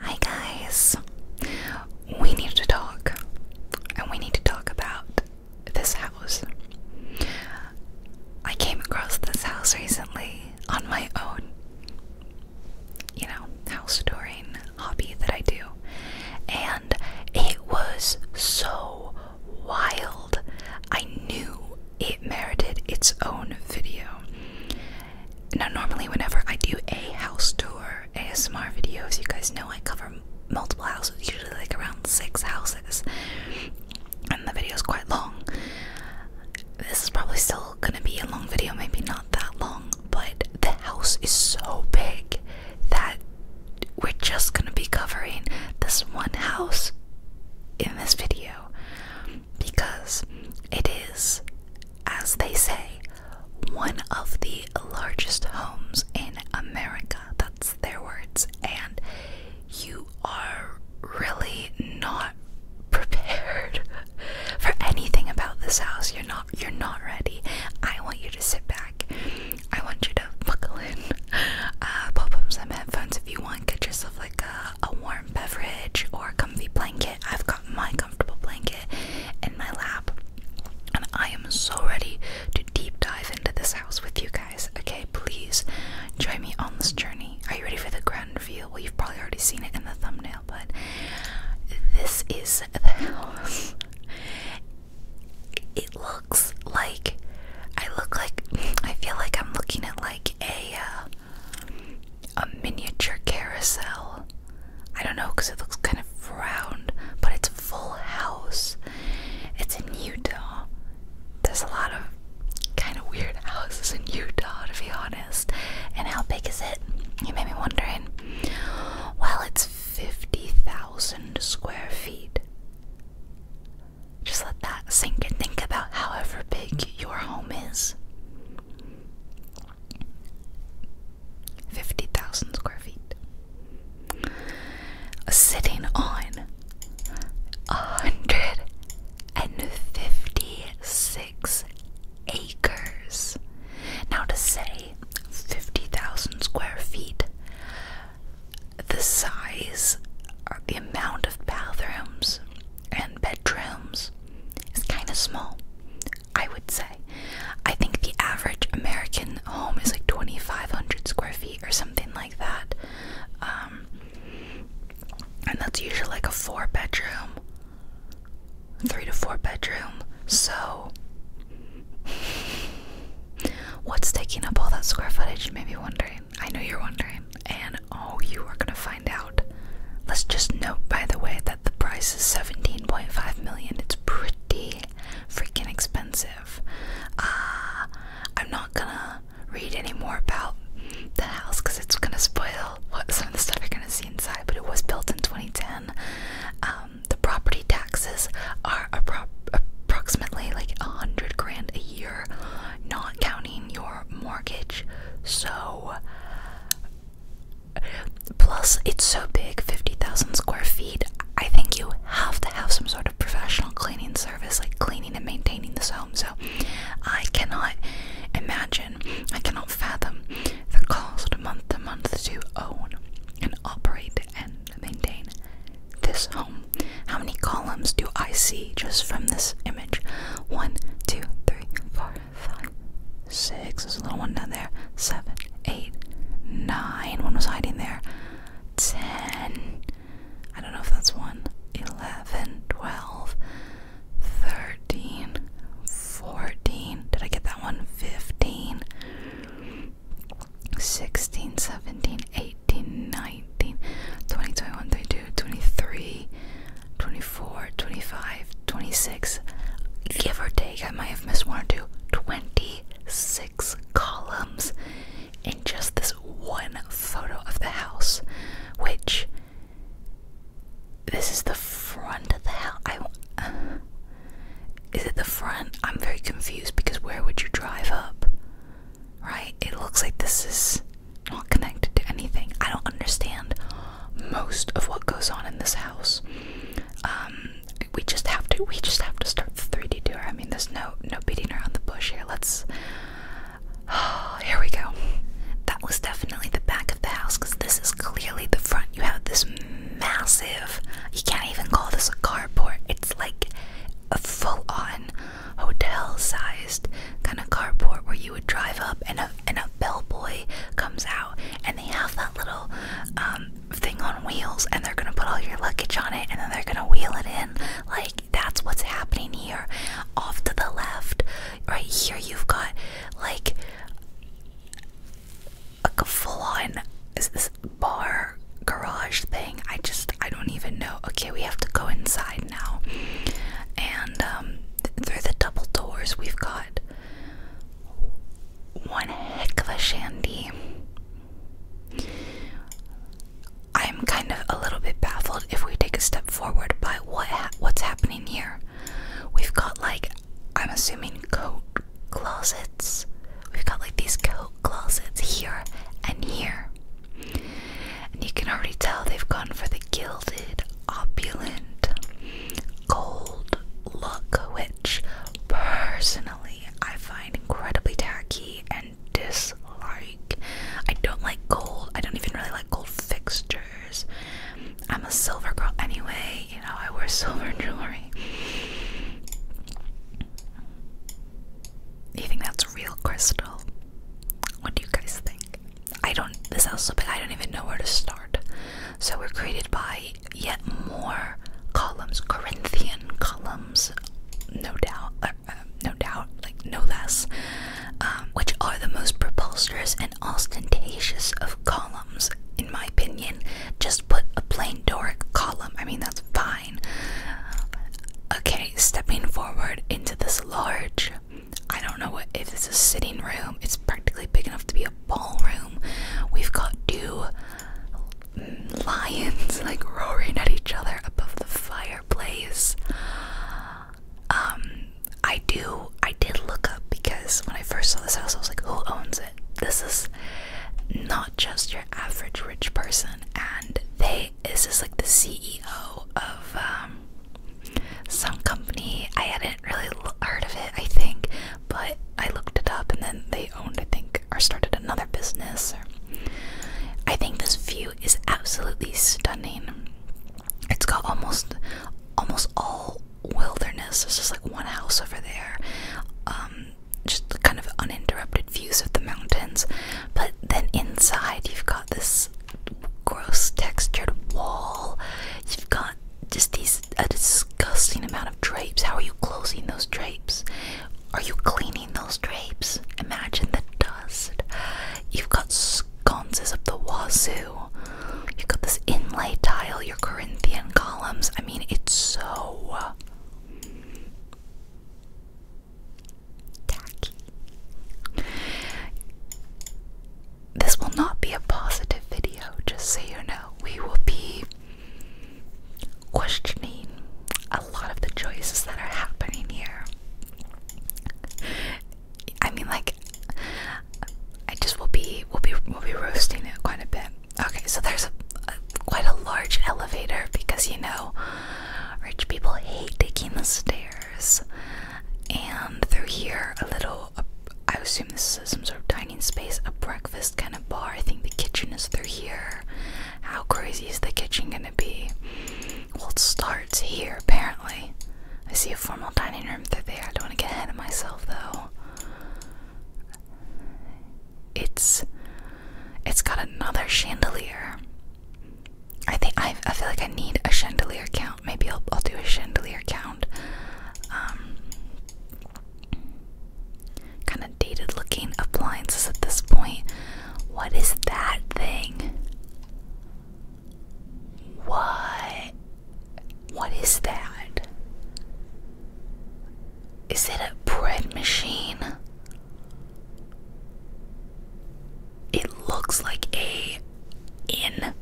Hi guys. We need to talk. And we need to talk about this house. I came across this house recently on my own. You know, house touring hobby that I do. And it was so wild. I knew it merited its own video. Now, normally, whenever I do a house tour ASMR videos, you guys know I cover multiple houses, usually like around six houses, and the video is quite long. This is probably still gonna be a long video, maybe not that long, but the house is so big that we're just gonna be covering this one house in this video because it is, as they say, one of the largest homes in America. That's their words. And you are really not prepared for anything about this house. You're not you're not ready. I want you to sit back. I want you to buckle in. Uh pop up some headphones if you want. Get yourself like a, a warm beverage or a comfy blanket I've got my comfortable blanket in my lap. And I am so ready to deep dive into this house with you guys. Okay, please join me on this journey. Are you ready for the grand reveal? Well, you've probably already seen it in the thumbnail, but this is the house. It looks like I look like I feel like I'm looking at like a uh, a miniature carousel. I don't know because it looks kind of round, but it's full house. It's in Utah. There's a lot of kind of weird houses in Utah, to be honest. And how big is it? You made me wondering. Well, it's 50,000 square feet. Just let that sink in. think about however big your home is. 50,000 square feet. Sitting on 156 acres. Now, to say 50,000 square feet, the size or the amount of bathrooms and bedrooms is kind of small I would say. I think the average American home is like 2,500 square feet or something like that. Um, and that's usually like a four bedroom, three to four bedroom. So, what's taking up all that square footage? You may be wondering. I know you're wondering. And oh, you are going to find out. Let's just note, by the way, that the price is 17.5 million. It's pretty freaking expensive. Ah, I'm not gonna read any more about the house because it's gonna spoil what some of the stuff you're gonna see inside. But it was built in 2010. Um, the property taxes are approximately like a hundred grand a year, not counting your mortgage. So Plus, it's so big 50,000 square feet. I think you have to have some sort of professional cleaning service, like cleaning and maintaining this home. So, I cannot imagine, I cannot fathom the cost month to month to own and operate and maintain this home. How many columns do I see just from this image? One, two, three, four, five, six. There's a little one down there. Seven, eight, nine. One was hiding there. Ten. I don't know if that's one. Eleven, twelve, thirteen, fourteen. Did I get that one? Fifteen. 16, 17, 18, 19, 20, 21, 22, 23, 24, 25, 26, give or take, I might have missed one or two, 26 columns in just this one photo of the house, which this is the front of the house. I, uh, is it the front? I'm very confused because where would you drive up? Right? It looks like this is not connected to anything. I don't understand most of what goes on in this house. Um, we just have to we just have to start the 3D tour. I mean there's no no beating around the bush here. Let's here we go. That was definitely the back of the house because this is clearly the front. You have this massive you can't even call this a carport. It's like a full-on hotel-sized kind of carport where you would drive up and a and a bellboy comes out and they have that little um, thing on wheels and they're gonna put all your luggage on it and then they're gonna wheel it in like that's what's happening here off to the left right here you've got like a full-on is this bar garage thing i just i don't even know okay we have to go inside now and um, through the double doors we've got one heck of a shandy. I'm kind of a little bit baffled if we take a step forward by what what's happening here. We've got like I'm assuming coat closets. We've got like these coat closets here and here. And you can already tell they've gone for the gilded, opulent, gold look, which personally I find incredibly tacky and dislike. I don't like gold. I don't even really like gold fixtures. I'm a silver girl anyway, you know, I wear silver jewelry. You think that's real crystal? What do you guys think? I don't, this sounds so big, I don't even know where to start. So, we're created by yet more columns, Corinthian columns, no doubt, uh, uh, no doubt, like no less, um, which are the most preposterous and ostentatious of columns, in my opinion. Just put a plain Doric column. I mean, that's fine. Okay, stepping forward into this large. I don't know if this is a sitting room. It's practically big enough to be a ballroom. We've got two lions like roaring at each other above the fireplace. Um, I do. I did look up because when I first saw this house, I was like, "Who owns it?" This is not just your average rich person, and they. This is like the CEO of um, some company. I had it hadn't really heard of it, I think, but I looked it up and then they owned, I think, or started another business. I think this view is absolutely stunning. It's got almost, almost all wilderness. There's just like one house over there. Um, just kind of uninterrupted views of the mountains. But then inside, you've got this gross textured wall. You've got just these a disgusting amount of drapes. How are you closing those drapes? Are you cleaning those drapes? Imagine the dust. You've got sconces up the wazoo. You've got this inlay tile, your Corinthian columns. I mean, it's so tacky. This will not be a positive video, just so you know. We will be questioning a lot of the choices that are happening here. I mean, like, I just will be will be will be roasting it quite a bit. Okay, so there's a, quite a large elevator because you know rich people hate taking the stairs, and through here a little I assume this is some sort of dining space, a breakfast kind of bar. I think the kitchen is through here. How crazy is the kitchen gonna be? Well, it starts here apparently. I see a formal dining room through there. I don't want to get ahead of myself though. It's it's got another chandelier. I think I I feel like I need a chandelier count. Maybe I'll I'll do a chandelier count. Um, kind of dated looking appliances at this point. What is that thing? What? What is that? Is it a bread machine? It looks like a in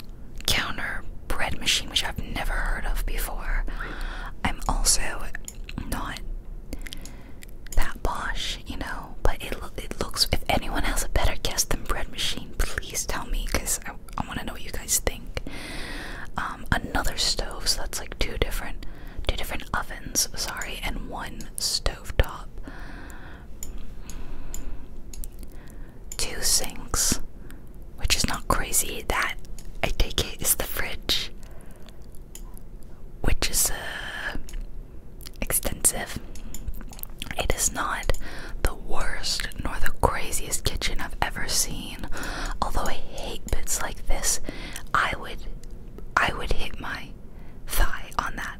counter bread machine, which I've never heard of before. I'm also not that posh, you know, but it, it looks. If anyone has a better guess than bread machine, please tell me because I, want to know what you guys think. Um, another stove, so that's like two different, two different ovens. Sorry, and one stove top. Two sinks, which is not crazy. That I take it is the fridge, which is uh, extensive. It is not the worst nor the craziest kitchen I've ever seen. Although I hate bits like this, I would I would hit my thigh on that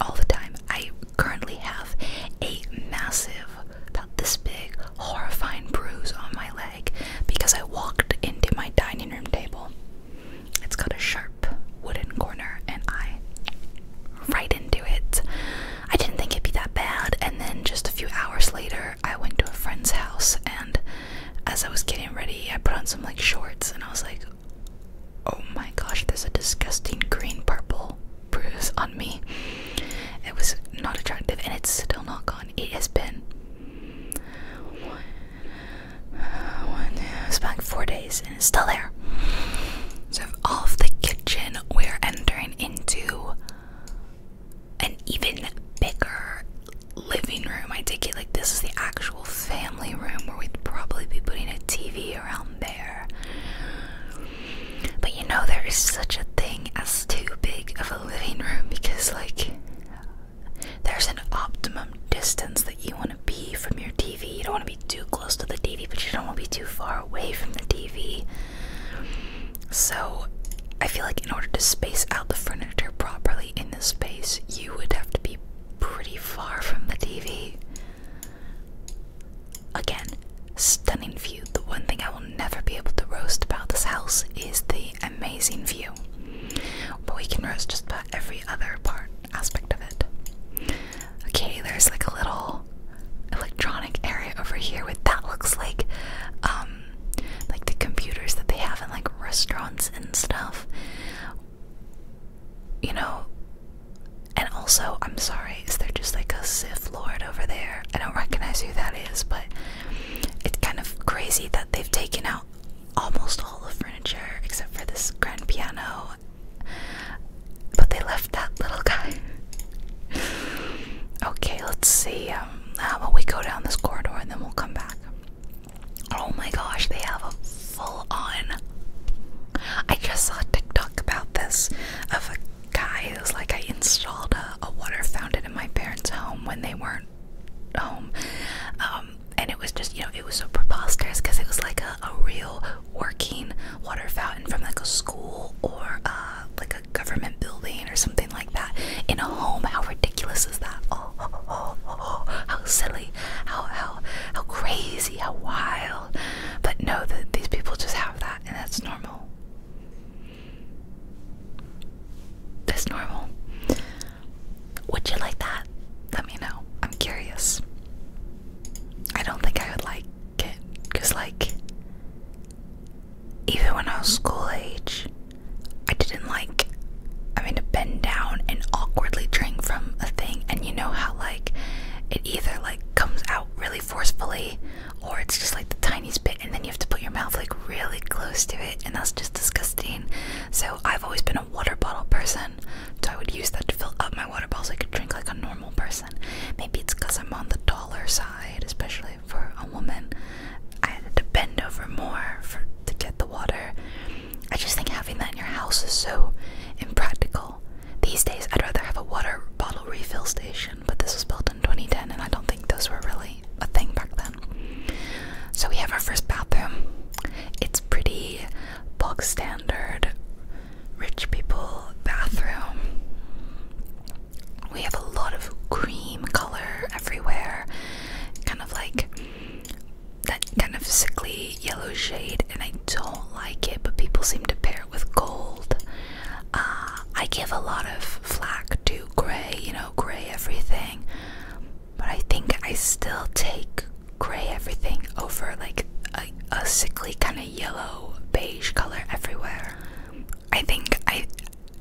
all the time. I currently have a massive, about this big, horrifying bruise on my leg because I walked into my dining room table. It's got a sharp wooden corner, and I right into it. I didn't think it'd be that bad, and then just a few hours later, I went to a friend's house, and as I was getting ready, I put on some like shorts, and I was like, "Oh my gosh, there's a disgusting green purple bruise on me." It was not attractive, and it's still not gone. It has been one, uh, one, back four days and it's still there. So off the kitchen, we're entering into an even bigger living room. I take it like this is the actual family room where we'd probably be putting a TV around there. But you know, there is such a thing as too big of living room because, like, there's an optimum distance that you want to be from your TV. You don't want to be too close to the TV, but you don't want to be too far away from the TV. So, I feel like in order to space out the furniture properly in this space, you would have to be pretty far from the TV. Again, stunning view. The one thing I will never be able to roast about this house is the amazing view. But we can roast just about every other part aspect of it. Okay, there's like a little electronic area over here with that looks like um like the computers that they have in like restaurants and stuff. You know, and also, I'm sorry, is there just like a Sith Lord over there? I don't recognize who that is, but it's kind of crazy that they've taken out almost all the furniture except for this grand piano, but they left that little guy. okay, let's see. Um, how about we go down this corridor and then we'll come back? Oh my gosh, they have a full on. I just saw a TikTok about this of a guy who's like, I installed a water fountain in my parents' home when they weren't home. Um, um, and it was just, you know, it was so preposterous because it was like a, real working water fountain from like a school or uh, like a government building or something like that in a home. How ridiculous is that? Oh, how silly, how, how, how crazy, how wild. But no, that these people just have that and that's normal. That's normal. Would you like that? Let me know. I'm curious. I don't think I would like it because, like, even when I was school age, I didn't like having to bend down and awkwardly drink from a thing. And you know how, like, it either like comes out really forcefully or it's just like the tiniest bit and then you have to put your mouth like really close to it and that's just disgusting. So I've always been a water bottle person. So I would use that to fill up my water bottle so I could drink like a normal person. Maybe it's because I'm on the taller side, especially for a woman. I had to bend over more to get the water. I just think having that in your house is so impractical. These days I'd rather have a water bottle refill station, but this was built in 2010 and I don't think those were really a thing back then. So we have our first bathroom. It's pretty bog standard rich people bathroom. We have a lot of cream color everywhere, kind of like that kind of sickly yellow shade, and I don't like it, but people seem to pair it with gold. Uh, I give a lot of flack to grey, you know, grey everything. But I think I still take gray everything over like a, sickly kind of yellow beige color everywhere. I think I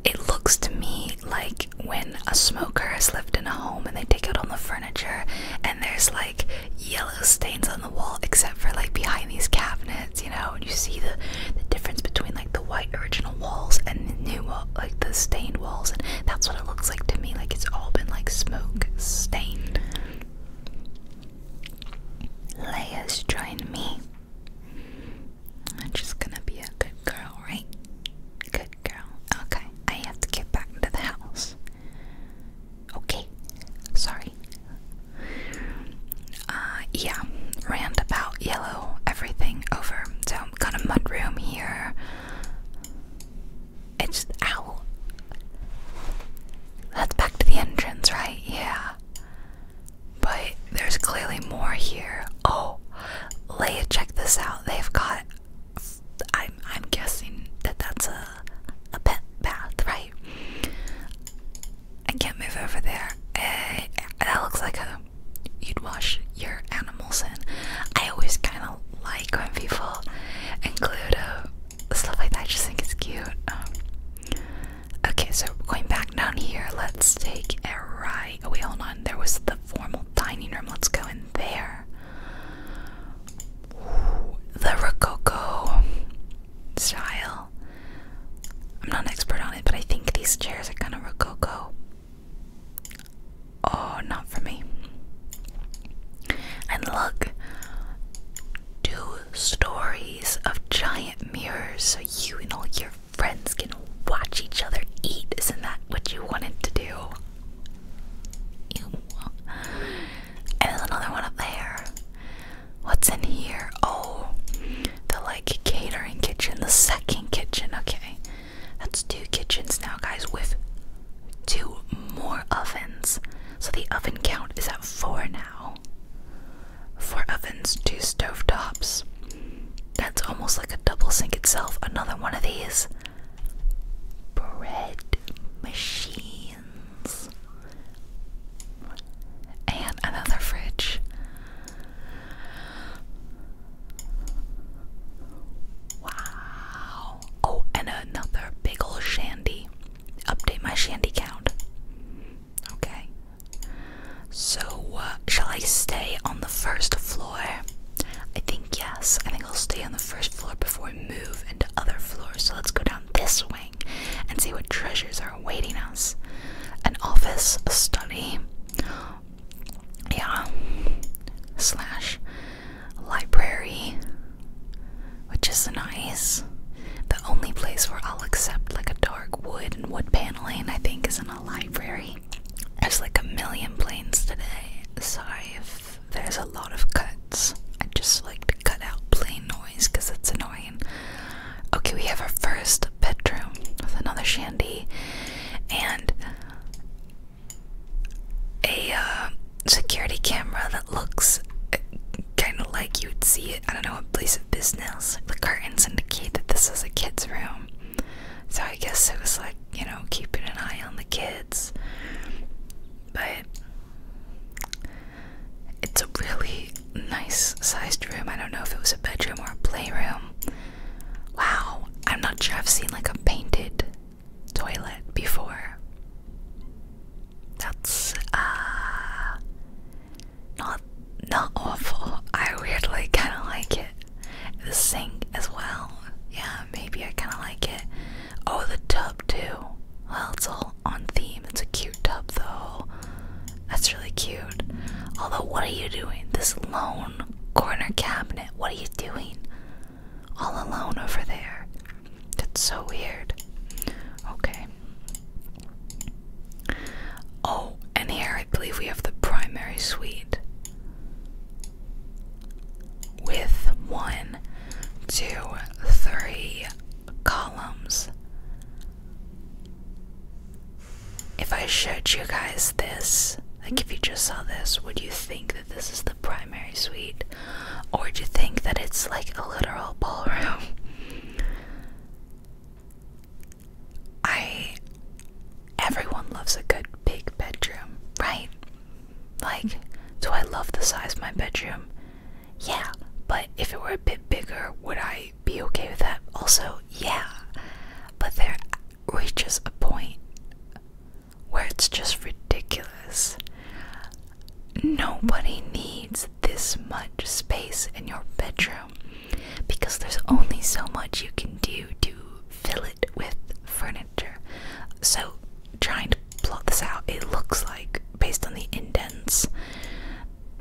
it looks to me like when a smoker has lived in a home and they take out all the furniture and there's like yellow stains on the wall except for like behind these cabinets, you know, and you see the the difference between the white original walls and the new wall, like the stained walls, and that's what it looks like to me. Like it's all been like smoke stained. Leia's joined me. I'm just gonna be a good girl, right? Good girl. Okay, I have to get back into the house. Okay, sorry. Uh, yeah, rant about yellow everything over. So um, got a mudroom here. It's ow. That's back to the entrance, right? Yeah. But there's clearly more here. Oh, Leia, check this out. They've got. I'm I'm guessing that that's a a pet bath, right? I can't move over there. Uh, that looks like a you'd wash your animals in. I always kind of like when people include uh, stuff like that. I just think it's cute. Um, okay, so going back down here, let's take a right. Oh wait, hold on. There was the formal dining room. Let's go in there. the Rococo style. I'm not an expert on it, but I think these chairs are kind of Rococo. Oh, not for me. And look, two stories of giant mirrors so you and all your friends can watch each other eat. Isn't that what you wanted to do? And another one up there. What's in here? Oh, the like catering kitchen, the second kitchen. Okay. That's two kitchens now, guys, with two more ovens. So the oven count is at four now. Four ovens, two stovetops. That's almost like a double sink itself. Another one of these bread machines. And another fridge. Wow. Oh, and another big old shandy. Update my shandy count. Okay. So, uh, shall I stay on the first floor? I think yes. I think I'll stay on the first floor before we move into other floors. So let's go down this wing and see what treasures are awaiting us. An office, a study, yeah, slash library, which is nice. The only place where I'll accept like a dark wood and wood paneling, I think, is in a library. There's like a million planes today, so if there's a lot of cuts. I just like to cut out plane noise because it's annoying. Okay, we have our first bedroom with another shandy, and a uh, security camera that looks uh, kind of like you would see it, I don't know, a place of business. The curtains indicate that this is a kid's room. So I guess it was like, you know, keeping an eye on the kids. But it's a really nice sized room. I don't know if it was a bedroom or a playroom. Wow, I'm not sure I've seen like a painted toilet before. That's uh not not awful. I weirdly kinda like it. The sink as well. Yeah, maybe I kinda like it. Oh the tub too. Well it's all on theme. It's a cute tub though. That's really cute. Although what are you doing? This lone corner cabinet. What are you doing? all alone over there. That's so weird. Okay. Oh, and here I believe we have the primary suite with one, two, three columns. If I showed you guys this, like, if you just saw this, would you think that this is the primary suite? Or would you think that it's like a literal ballroom? I. Everyone loves a good big bedroom, right? Like, do I love the size of my bedroom? Yeah, but if it were a bit bigger, would I be okay with that? Also, yeah. But there reaches a point where it's just ridiculous. Nobody needs this much space in your bedroom because there's only so much you can do to fill it with furniture. So, trying to plot this out, it looks like, based on the indents,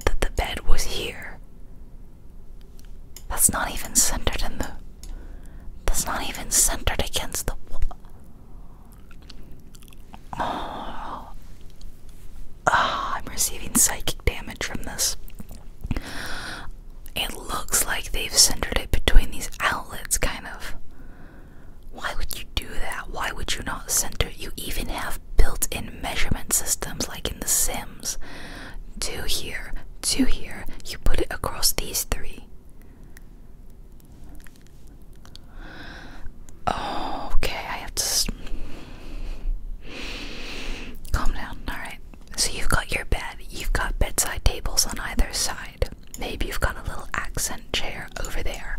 that the bed was here. That's not even centered in the that's not even centered against the wall. Oh. oh, I'm receiving psychic damage from this. It looks like they've centered it between these outlets, kind of. Why would you do that? Why would you not center? You even have built in measurement systems like in The Sims. Two here, two here. You put it across these three okay, I have to calm down. Alright, so you've got your bed, you've got bedside tables on either side. Maybe you've got a little accent chair over there.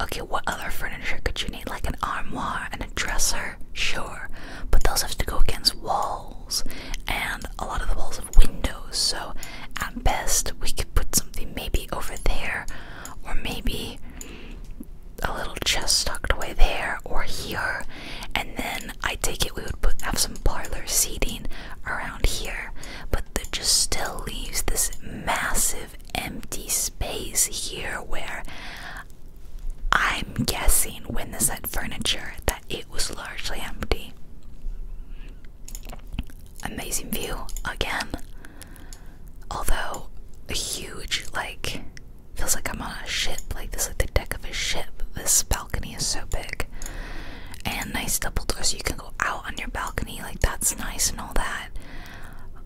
Okay, what other furniture could you need? Like an armoire and a dresser? Sure, but those have to go against wall and a lot of the walls have windows. So at best, we could put something maybe over there, or maybe a little chest tucked away there or here. And then I take it we would have some parlor seating around here, but that just still leaves this massive empty space here where I'm guessing when they said furniture that it was largely empty. Amazing view again. Although a huge like feels like I'm on a ship, like this like the deck of a ship. This balcony is so big. And nice double doors you can go out on your balcony, like that's nice and all that.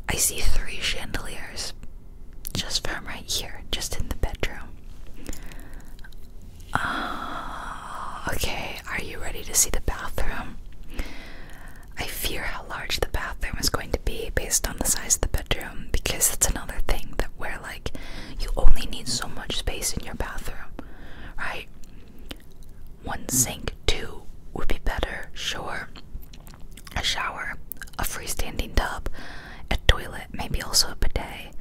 I see three chandeliers just from right here, just in the bedroom. Ah, okay, are you ready to see the bathroom? I fear how large the bathroom is going to be based on the size of the bedroom because it's another thing that we're like you only need so much space in your bathroom, right? One sink, two would be better, sure. A shower, a freestanding tub, a toilet, maybe also a bidet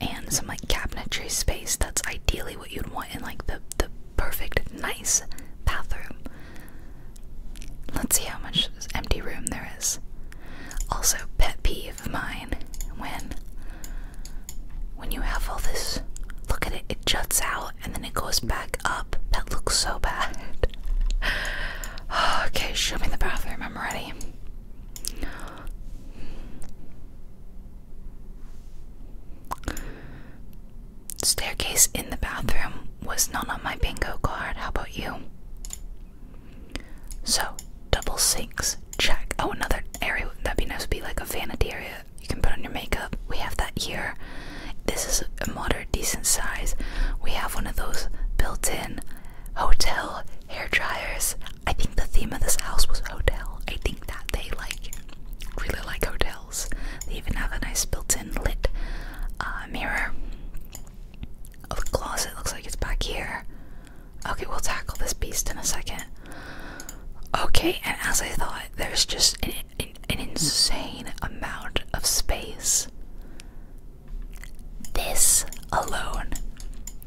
and some like cabinetry space. That's ideally what you'd want in like the the perfect nice bathroom. Let's see how much empty room there is. Also, pet peeve of mine when when you have all this look at it, it juts out and then it goes back up. That looks so bad. okay, show me the bathroom. I'm ready. Staircase in the bathroom was not on my bingo card. How about you? So, double sinks. Check. Oh, another area that'd be nice would be like a vanity area. You can put on your makeup. We have that here. This is a moderate, decent size. We have one of those built in hotel hair dryers. I think the theme of this house was hotel. I think that they like really like hotels. They even have a nice built-in lit uh, mirror. Oh, the closet looks like it's back here. Okay, we'll tackle this beast in a second. Okay, and as I thought, there's just an insane amount of space. This alone,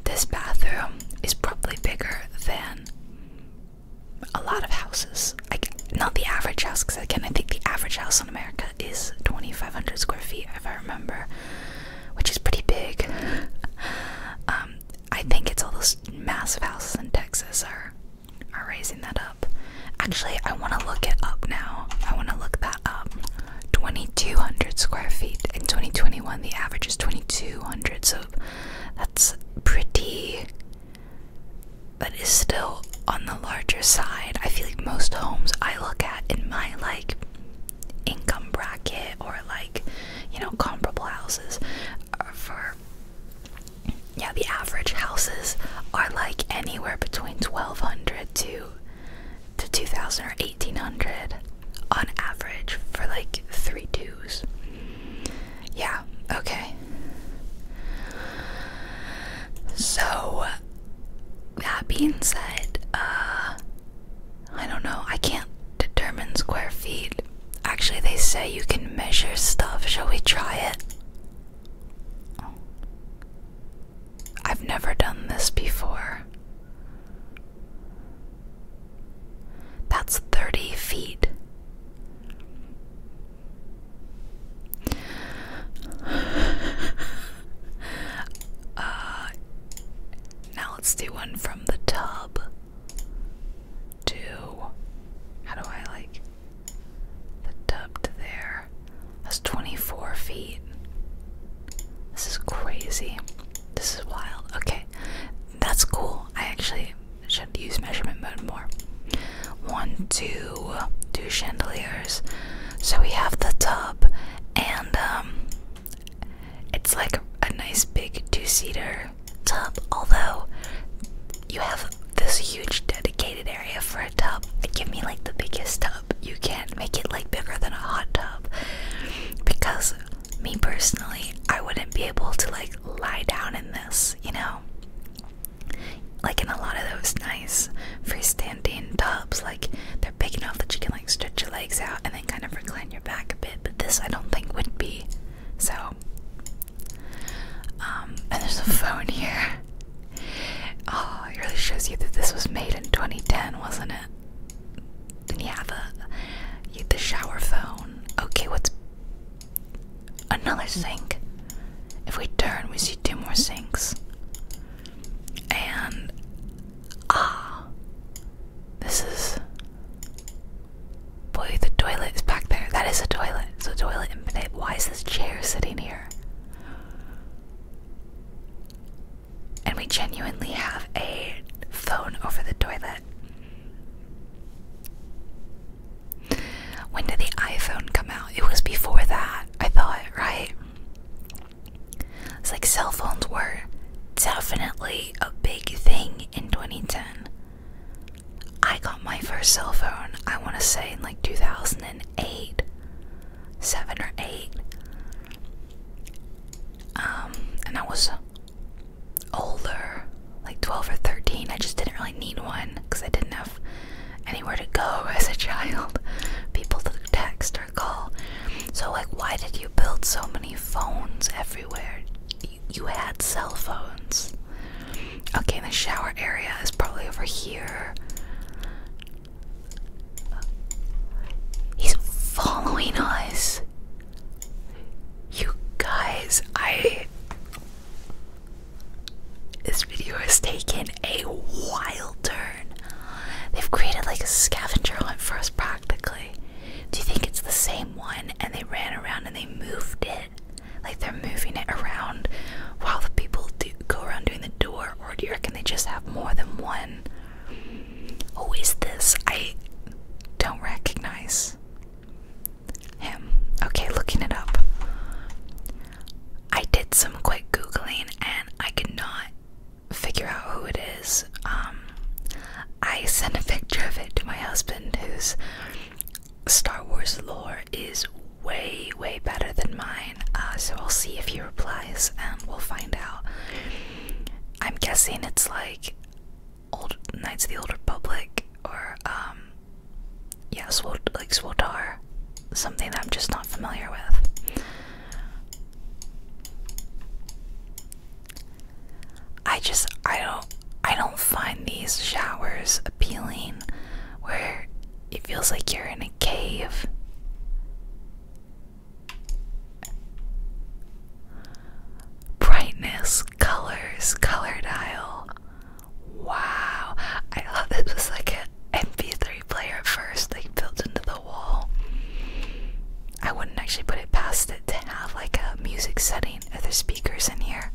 this bathroom is probably bigger than a lot of houses. Like not the average house, because again, I think the average house in America is 2,500 square feet, if I remember, which is pretty big. Um, I think it's all those massive houses in Texas are are raising that up. Actually, I want to look it up now. I want to look that up. 2,200 square feet in 2021. The average is 2,200, so that's pretty, but is still on the larger side. I feel like most homes I look at in my like income bracket or like you know comparable houses for yeah the average houses are like anywhere between 1200 to to 2000 or 1800 on average for like three twos yeah, okay. So, that being said, uh, I don't know, I can't determine square feet. Actually, they say you can measure stuff. Shall we try it? I've never done this before. That's 30 feet. uh, now let's do one from the tub to. How do I like. The tub to there. That's 24 feet. This is crazy. This is wild. Okay. That's cool. I actually should use measurement mode more. One, two, two chandeliers. So we have the tub, and um, it's like a nice big two-seater tub. Although you have this huge dedicated area for a tub. Give me like the biggest tub. You can't make it like bigger than a hot tub because me personally, I wouldn't be able to like lie down in this, you know? Like in a lot of those nice freestanding tubs, like they're big enough that you can like stretch your legs out and then kind of recline your back a bit, but this I don't think would be. So, um, and there's a phone here. Oh, it really shows you that this was made in 2010, wasn't it? And yeah, the, the shower phone. Okay, what's Another sink. If we turn, we see two more sinks. And. Ah! This is. Boy, the toilet is back there. That is a toilet. So toilet in Pinate. Why is this chair sitting here? And we genuinely have a phone over the toilet. When did the iPhone come out? It was before that, I thought, right? It's like cell phones were definitely a big thing in 2010. I got my first cell phone, I want to say, in like 2008, 7 or 8. Um, and I was older, like 12 or 13, I just didn't really need one because I didn't have anywhere to go as a child, people to text or call. So, like, why did you build so many phones everywhere? You, had cell phones. Okay, the shower area is probably over here. He's following us. You guys, I this video has taken a wild turn. They've created like a scavenger hunt for us practically. Do you think it's the same one and they ran around and they moved it? Like they're moving it around while the people go around doing the door, or do you reckon they just have more than one? Who is this? I don't recognize. Him. Okay, looking it up. I did some quick Googling and I could not figure out who it is. Um, I sent a picture of it to my husband, whose Star Wars lore is way, way better than mine. Uh, so we will see if he replies and we'll find out. I'm guessing it's like old Knights of the Old Republic or um yeah, Swol like Swoldar, something that I'm just not familiar with. I just I don't I don't find these showers appealing where it feels like you're in a cave. Brightness, colors, color dial. Wow, I thought this was like an MP3 player at first, like built into the wall. I wouldn't actually put it past it to have like a music setting, if other speakers in here.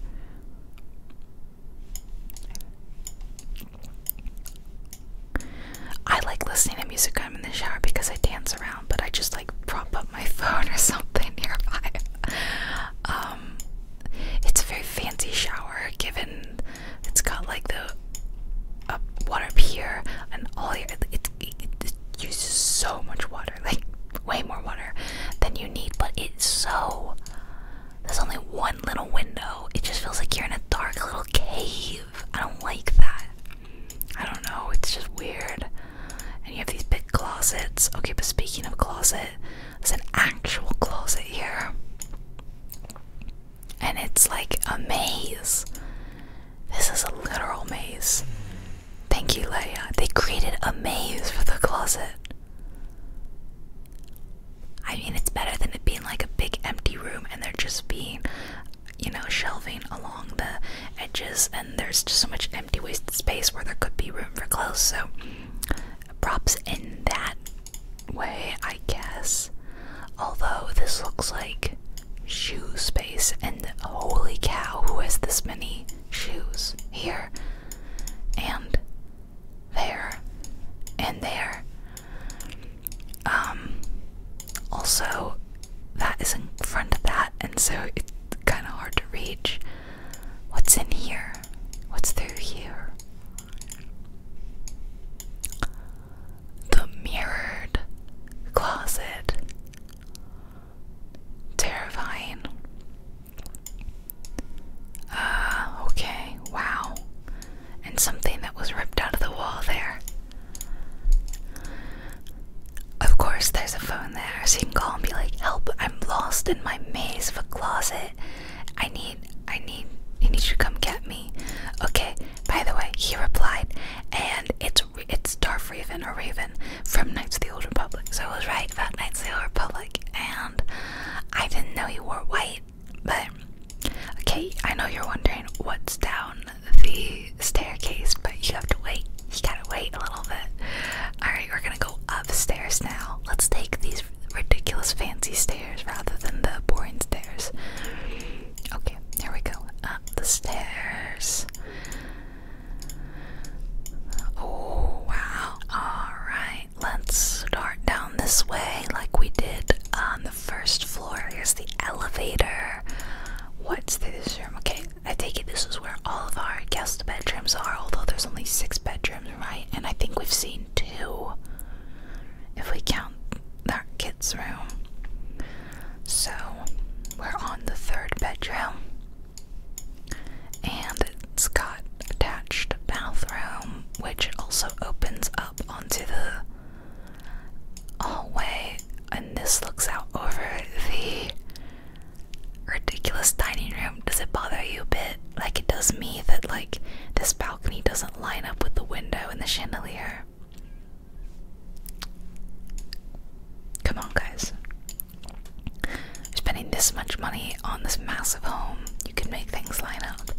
I like listening to music when I'm in the shower because I dance around, but I just like prop up my phone or something nearby. Um, it's a very fancy shower, given it's got like the uh, water here and all your. It, it, it uses so much water, like way more water than you need, but it's so. There's only one little window. It just feels like you're in a dark little cave. I don't like that. I don't know, it's just weird. And you have these big closets. Okay, but speaking of closet, there's an actual closet here. And it's like a maze. This is a literal maze. Thank you, Leia. They created a maze for the closet. I mean, it's better than it being like a big empty room and there just being, you know, shelving along the edges, and there's just so much empty wasted space where there could be room for clothes. So props in that way, I guess. Although this looks like shoe space, and holy cow, who has this many shoes here? And there, and there. Um, also, that is in front of that, and so it's kind of hard to reach. What's in here? What's through here? The mirrored closet. Terrifying. Uh, okay, wow. And something that was ripped out of the wall there. Of course, there's a phone there so you can call and be like, help, I'm lost in my maze of a closet. I need, I need, I need to come get me. Okay, by the way, he replied, and it's it's Darth Raven or Raven from Knights of the Old Republic. So I was right about Knights of the Old Republic, and I didn't know you wore white, but okay, I know you're wondering what's down the staircase, but you have to wait. You gotta wait a little bit. Alright, we're gonna go upstairs now. Let's take these ridiculous fancy stairs rather than the boring stairs. Okay, here we go. Up the stairs. Oh, wow. Alright, let's start down this way like we did on the first floor. Here's the elevator. What's this room? Okay, I take it this is where all of our guest bedrooms are, although there's only six bedrooms right? And I think we've seen two if we count that kid's room. So we're on the third bedroom, and it's got attached bathroom, which also opens up onto the hallway, and this looks out over the ridiculous dining room. Does it bother you a bit, like it does me, that like this balcony doesn't line up with the window and the chandelier? Come on, guys. You're spending this much money on this massive home. You can make things line up.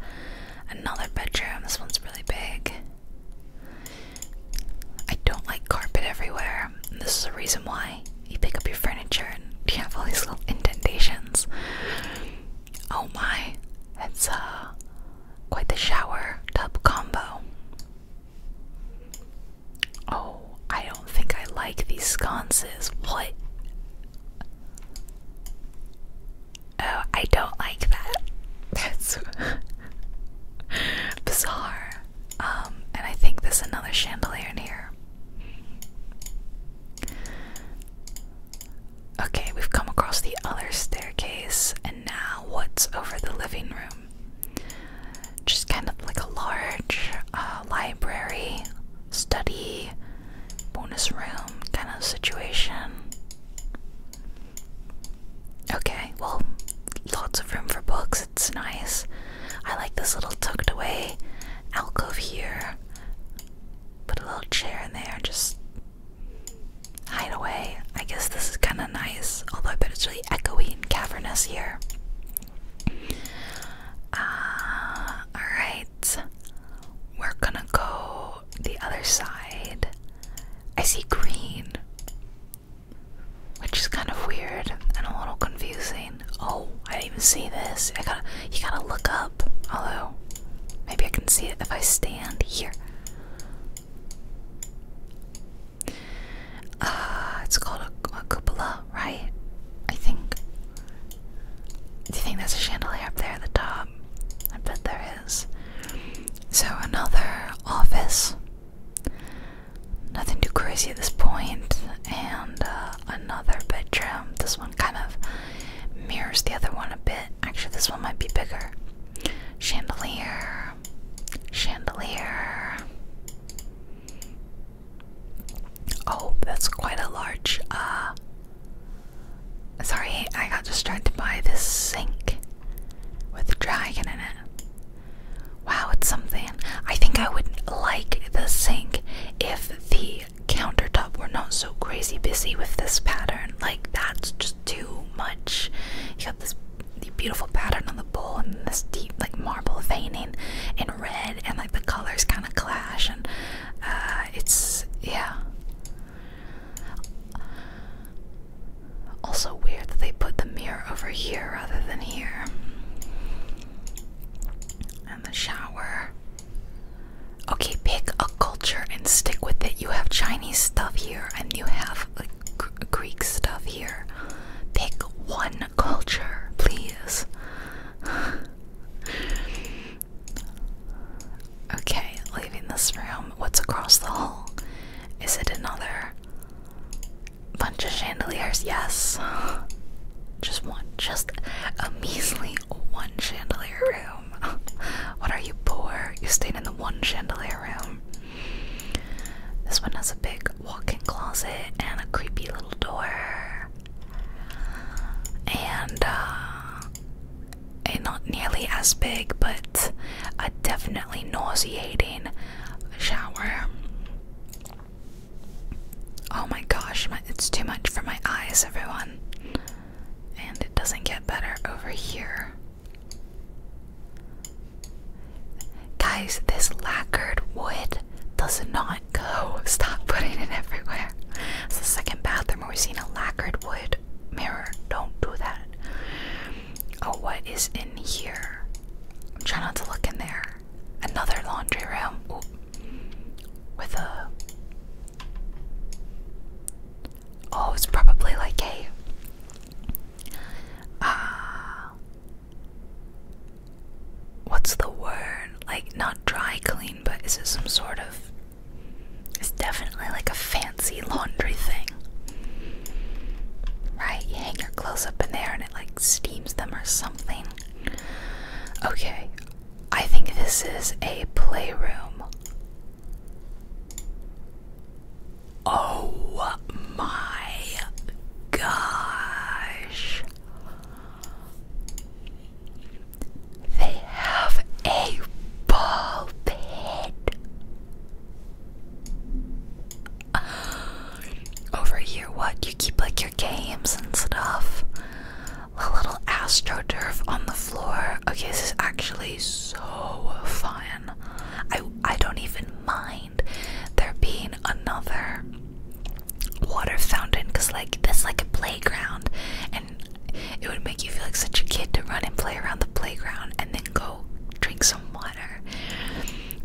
Another bedroom. This one's really big. I don't like carpet everywhere. And this is the reason why you pick up your furniture and you have all these little indentations. Oh my, it's uh, quite the shower tub combo. Oh, I don't think I like these sconces. What? Oh, I don't like that. That's bizarre. Um, and I think there's another chandelier in here. Okay, we've come across the other staircase, and now what's over the living room? Just kind of like a large uh, library, study, bonus room kind of situation. Okay, well, lots of room for books, it's nice. I like this little tucked away alcove here. Put a little chair in there just hide away. I guess this is kind of nice, although I bet it's really echoey and cavernous here. Uh, Alright, we're gonna go the other side. I see green, which is kind of weird and a little confusing. Oh, I didn't even see this. I gotta, you gotta look up. Although, maybe I can see it if I stand here. Ah, it's called a, cupola, right? I think. Do you think there's a chandelier up there at the top? I bet there is. So, another office. Nothing too crazy at this point, and uh, another bedroom. This one kind of mirrors the other one a bit. Actually, this one might be bigger. Chandelier. Chandelier. Oh, that's quite a large, uh. Sorry, I got distracted by the sink with the dragon in it. Wow, it's something. I think I would like the sink if the countertop we're not so crazy busy with this pattern like that's just too much you got this beautiful pattern on the bowl and this deep like marble veining in red and like the colors kind of clash and uh, it's yeah also weird that they put the mirror over here rather than here the shower. Okay, pick a culture and stick with it. You have Chinese stuff here and you have Greek stuff here. Pick one culture, please. okay, leaving this room. What's across the hall? Is it another bunch of chandeliers? Yes. Just one. Just a measly one chandelier room. what are you poor? You stayed in the one chandelier room. This one has a big walk-in closet and a creepy little door. And uh a eh, not nearly as big but a definitely nauseating shower. Oh my gosh, my, it's too much for my eyes, everyone. And it doesn't get better over here. Guys, this lacquered wood does not go. Stop putting it everywhere. It's the second bathroom where we've seen a lacquered wood mirror. Don't do that. Oh, what is in here? I'm trying not to look in there. Another laundry room with a. Oh, it's probably like a. Uh, what's the word? Like, not dry clean, but is it some sort of. It's definitely like a fancy laundry thing. Right? You hang your clothes up in there and it like steams them or something. Okay, I think this is a playroom. Oh my gosh. They have a ball pit. Over here, what? You keep like your games and stuff a little astroturf on the floor. Okay, this is actually so fun. I I don't even mind there being another water fountain because like that's like a playground and it would make you feel like such a kid to run and play around the playground and then go drink some water.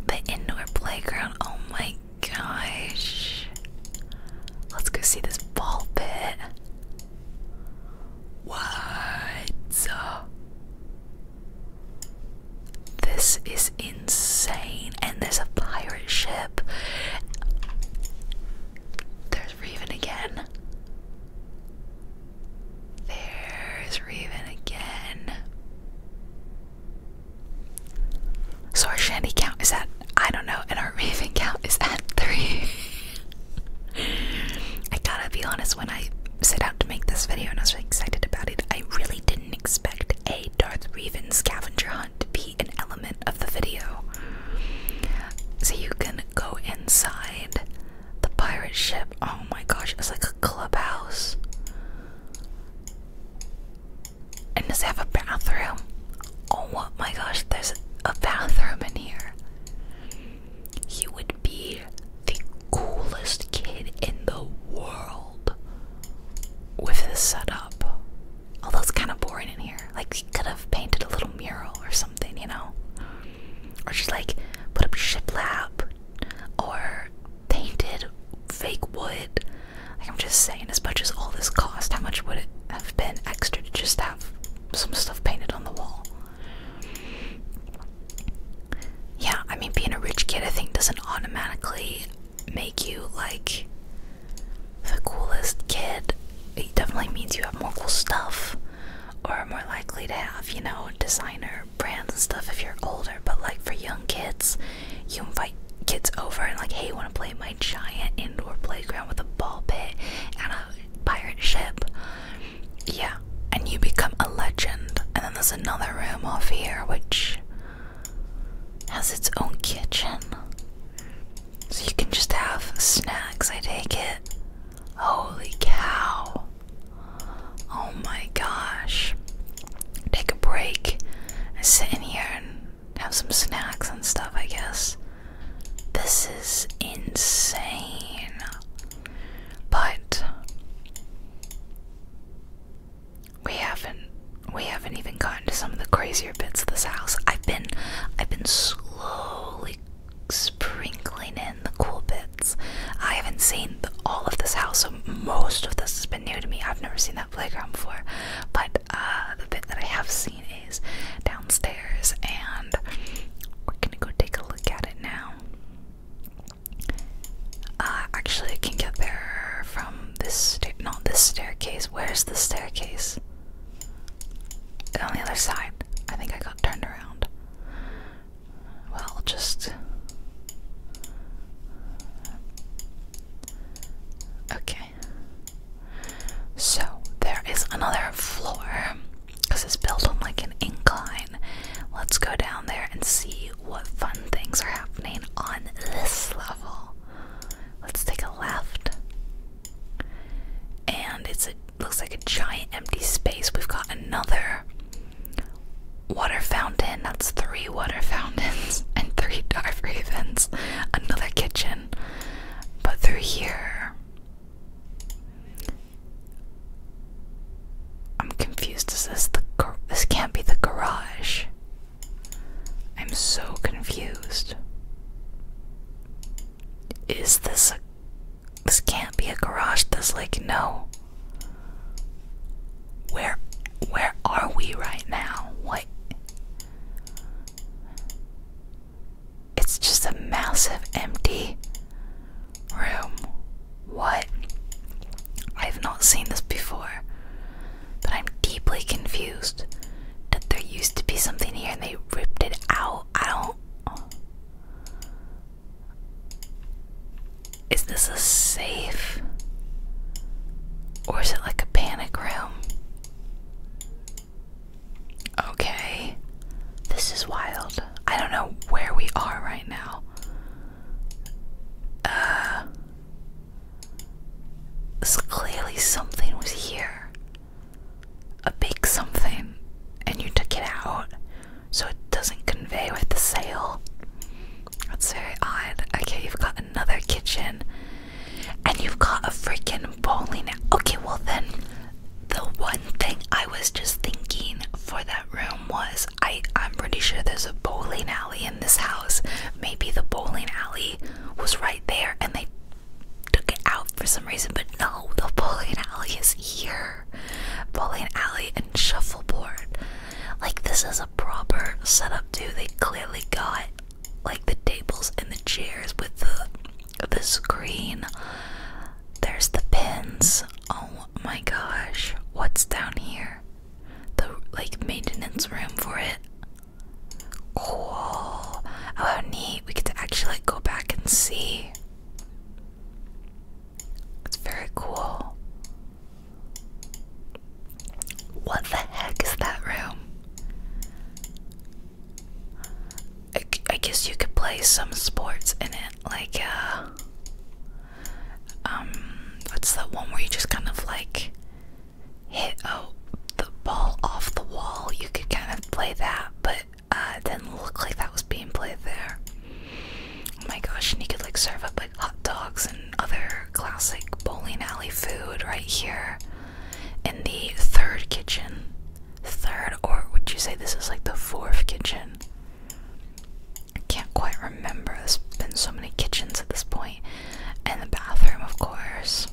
The indoor playground, oh my gosh. Let's go see this ball pit. What? This is insane. And there's a pirate ship. There's Raven again. There's Raven again. So our shanty count is at I don't know, and our raven count is at three. I gotta be honest, when I set out to make this video and I was really excited about it, I really didn't expect a Darth Revan scavenger hunt to be an element of the video. So you can go inside the pirate ship. Oh my gosh, it's like a clubhouse. And does it have a bathroom? Oh my gosh, there's a bathroom in here. He would be the coolest kid in the world with this setup. Although it's kind of boring in here. Like, he could have painted a little mural or something, you know? Or just like put up shiplap or painted fake wood. Like, I'm just saying, as much as all this cost, how much would it have been extra to just have some stuff painted on the wall. Yeah, I mean, being a rich kid, I think, doesn't automatically make you like the coolest kid. It definitely means you have more cool stuff or more likely to have, you know, designer brands and stuff if you're older. But like for young kids, you invite kids over and like, hey, want to play my giant indoor playground with a ball pit and a pirate ship. Yeah, and you become a legend. And then there's another room off here which has its own kitchen. So you can just have snacks, I take it. Holy cow. Oh my gosh. Take a break sit in here and have some snacks and stuff, I guess. This is insane. But we haven't we haven't even gotten to some of the crazier bits of this house. I've been I've been slowly sprinkling in the cool bits. I haven't seen all of this house, so most of this has been new to me. I've never seen that playground before. But uh the bit that I have seen is downstairs, and we're gonna go take a look at it now. Uh, actually, I can get there from this stair. Not this staircase. Where's the staircase? On the other side. I think I got turned around. Well, just. Okay. So there is another floor because it's built on like an incline. Let's go down there and see what fun things are happening on this level. Let's take a left. And it's a looks like a giant empty space. We've got another water fountain. That's three water fountains and three dive ravens. Another kitchen. But through here I'm confused. Is this the this can't be the garage? I'm so confused. Is this a this can't be a garage? This like no. Where where are we right now? What? It's just a massive empty room. What? I've not seen this before, but I'm deeply confused that there used to be something here and they ripped it out. I don't. Is this a safe? Or is it like a panic room? Okay. This is wild. I don't know where we are right now. Uh. clearly something was here. A big something. And you took it out so it doesn't convey with the sail. That's very odd. Okay, you've got another kitchen. And you've got a freaking bowling. Okay, well then the one thing I was just thinking for that room was I, I'm pretty sure there's a bowling alley in this house. Maybe the bowling alley was right there and they took it out for some reason, but no, the bowling alley is here. Bowling alley and shuffleboard. Like, this is a proper setup, too. They clearly got like the tables and the chairs with the the screen. There's the pins. Oh my gosh. What's down here? The like maintenance room for it. Cool. Oh, how neat. We could actually go back and see. It's very cool. What the heck is that room? I, guess you could play some sports in it, like uh, um, what's that one where you just kind of like hit oh the ball off the wall? You could kind of play that, but uh, didn't look like that was being played there. Oh my gosh! And you could like serve up like hot dogs and other classic bowling alley food right here in the third kitchen third, or would you say this is like the fourth kitchen? I can't quite remember. There's been so many kitchens at this And the bathroom, of course.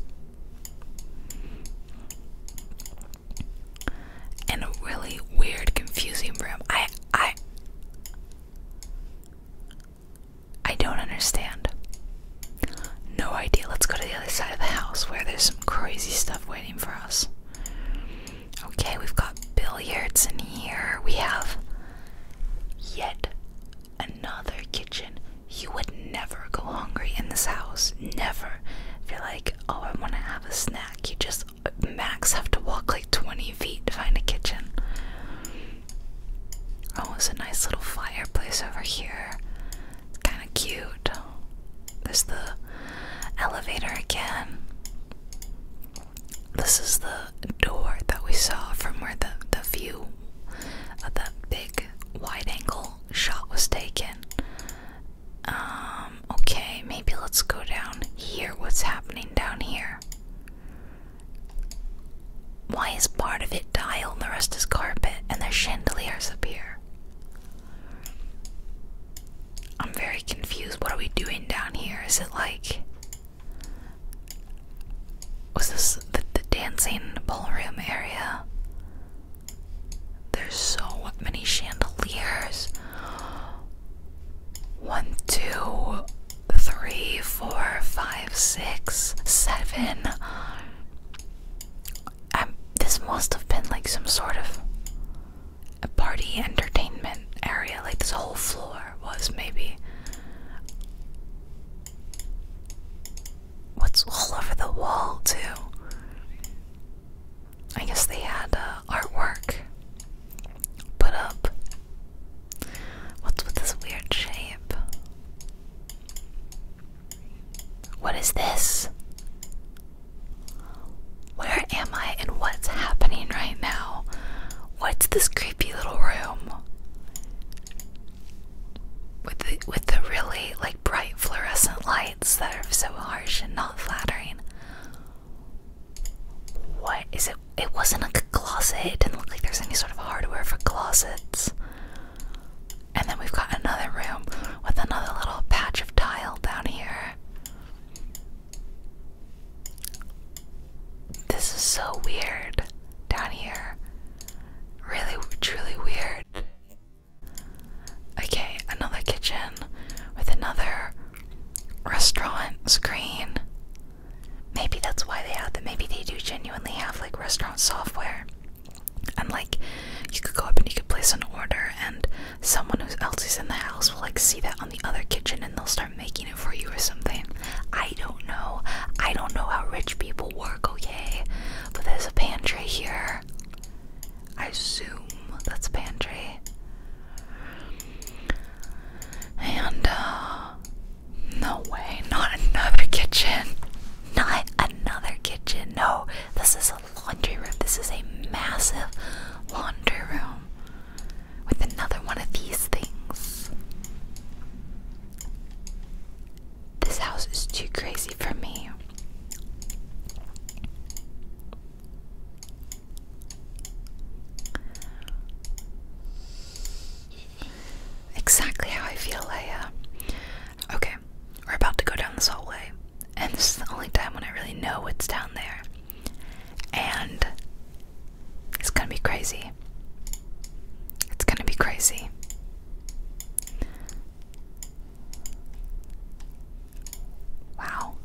And a really weird, confusing room. I, I, I don't understand. No idea. Let's go to the other side of the house where there's some crazy stuff. waiting for us. Okay, we've got billiards in here. We have yet another kitchen. You would never go hungry in this house. Never. If you're like, oh, I want to have a snack, you just max have to walk like 20 feet to find a kitchen. Oh, it's a nice little fireplace over here. It's kind of cute. There's the elevator again. This is the door that we saw from where the, the view of that big wide angle shot was taken. Um, okay, maybe let's go down here. What's happening down here? Why is part of it tile and the rest is carpet and there's chandeliers up here? I'm very confused. What are we doing down here? Is it like. Was this the, dancing ballroom area? There's so many chandeliers. One, two, three, four, five, um, this must have been like some sort of a party entertainment area. Like this whole floor was maybe. What's all over the wall, too? I guess they had uh, artwork put up. What's with this weird shape? What is this? Where am I and what's happening right now? What's this creepy little room? With the, with the really like bright fluorescent lights that are so harsh and not flattering. What is it? It wasn't a closet. It didn't look like there's any sort of hardware for closets. And then we've got another room with another little patch of tile down here. This is so weird down here. Really, truly weird. Okay, another kitchen with another restaurant screen. Maybe that's why they have that. Maybe they do genuinely have like restaurant software. And like you could go up and you could place an order and someone who else is in the house will like see that on the other kitchen and they'll start making it for you or something. I don't know. I don't know how rich people work, okay? But there's a pantry here. I assume that's pantry. And uh, no way, not another kitchen. Not another kitchen. No, this is a laundry room. This is a massive laundry room with another one of these things. This house is too crazy for me. Exactly how I feel, Leia. Okay, we're about to go down this hallway and this is the only time when I really know what's down there. And it's gonna be crazy. It's gonna be crazy. Wow.